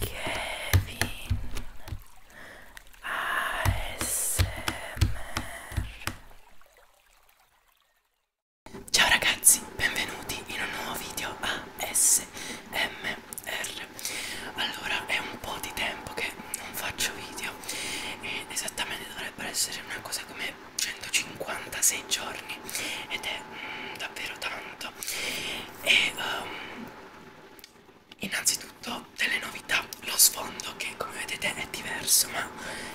Kevin ASMR Ciao ragazzi, benvenuti in un nuovo video ASMR Allora, è un po' di tempo che non faccio video e esattamente dovrebbero essere una cosa come 156 giorni ed è mm, davvero tanto e um, innanzitutto delle novità lo sfondo che come vedete è diverso ma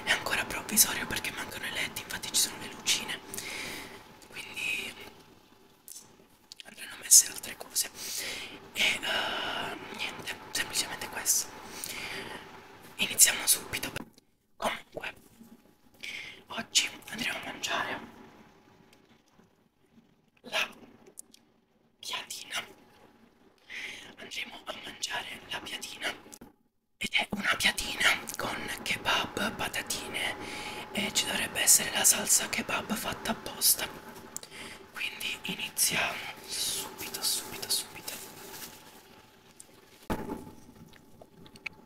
è ancora provvisorio perché mancano i led infatti ci sono le lucine quindi andranno messe altre cose e uh, niente semplicemente questo iniziamo subito comunque oggi andremo a mangiare la piadina andremo a mangiare la piadina ed è una piadina con kebab patatine e ci dovrebbe essere la salsa kebab fatta apposta quindi iniziamo subito subito subito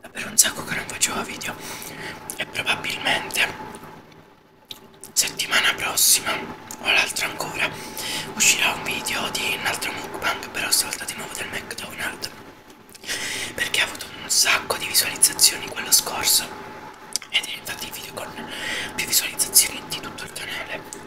davvero un sacco che non facevo video e probabilmente settimana prossima o l'altra ancora uscirà un video di un altro mukbang però stavolta di nuovo del McDonald's perché ha avuto un sacco di visualizzazioni quello scorso ed è infatti il video con più visualizzazioni di tutto il canale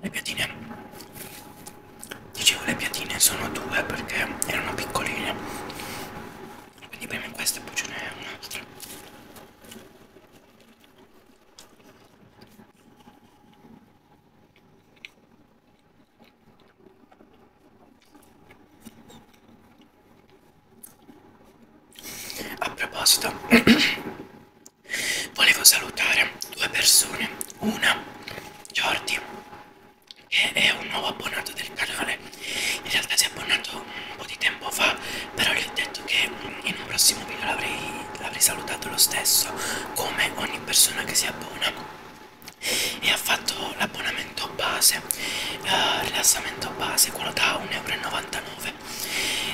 Le piatine, dicevo le piatine sono due perché erano piccoline, quindi prima questa e poi ce n'è un'altra. A proposito, volevo salutare due persone. Una, Jordi, che è un nuovo abbonato del canale. In realtà si è abbonato un po' di tempo fa, però gli ho detto che in un prossimo video l'avrei salutato lo stesso, come ogni persona che si abbona e ha fatto l'abbonamento base, eh, rilassamento base, quello da 1,99€ 9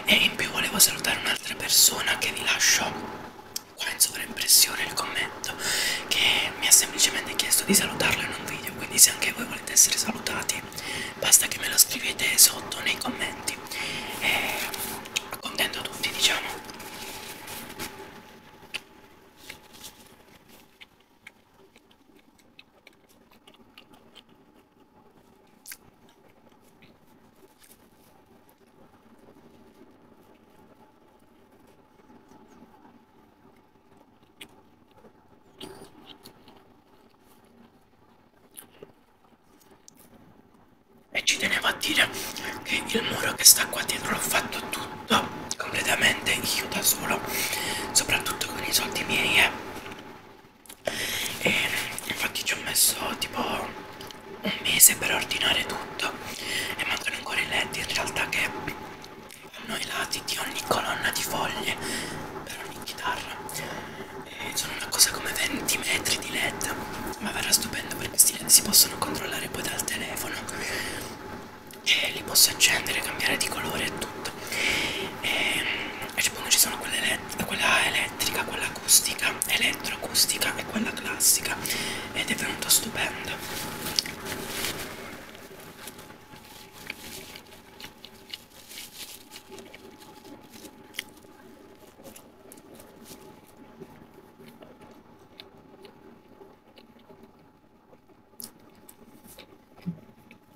e in più volevo salutare un'altra persona che vi lascio qua in sovraimpressione il commento che mi ha semplicemente chiesto di salutarlo in un video quindi se anche voi volete essere salutati basta che me lo scrivete sotto nei commenti e accontento tutti diciamo e ci tenevo a dire che il muro che sta qua dietro l'ho fatto tutto completamente io da solo, soprattutto con i soldi miei. Eh e infatti ci ho messo tipo un mese per ordinare tutto e mancano ancora i led in realtà che hanno i lati di ogni colonna di foglie per ogni chitarra e sono una cosa come 20 metri di led ma verrà stupendo perché questi led si possono controllare poi dal telefono e li posso accendere cambiare di colore e tutto e e cioè, ci sono quelle elett quella elettrica, quella acustica, elettroacustica e quella classica ed è venuta stupenda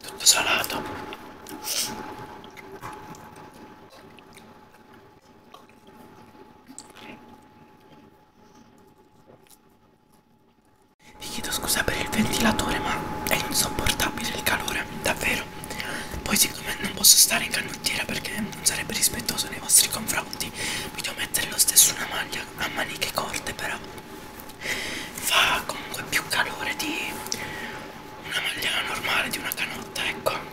tutto salato vi chiedo scusa per il ventilatore ma è insopportabile il calore davvero poi siccome non posso stare in canottiera perché non sarebbe rispettoso nei vostri confronti mi devo mettere lo stesso una maglia a maniche corte però fa comunque più calore di una magliana normale di una canotta ecco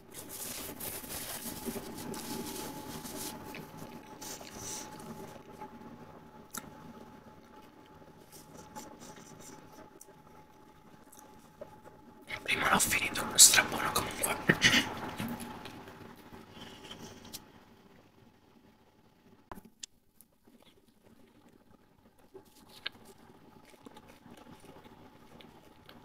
E prima l'ho finito strabuono comunque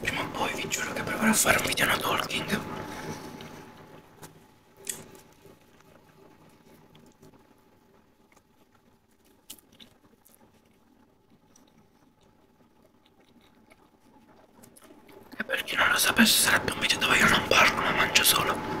Prima o poi vi giuro che proverò a fare un video no talking. E per chi non lo sapesse sarebbe un video dove io non parlo ma mangio solo.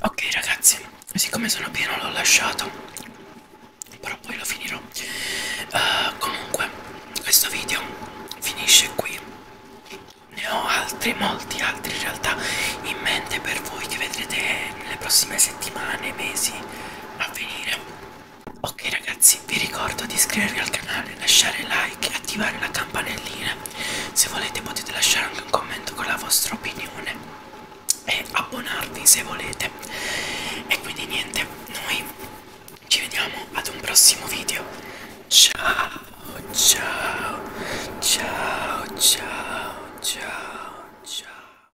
Ok ragazzi, siccome sono pieno l'ho lasciato, però poi lo finirò. Uh, comunque, questo video finisce qui. Ne ho altri, molti altri in realtà in mente per voi che vedrete nelle prossime settimane, mesi a venire. Ok ragazzi, vi ricordo di iscrivervi al canale, lasciare like e attivare la campanellina. Se volete potete lasciare anche un commento con la vostra opinione e abbonarvi se volete. E quindi niente, noi ci vediamo ad un prossimo video. Ciao, ciao, ciao, ciao, ciao, ciao.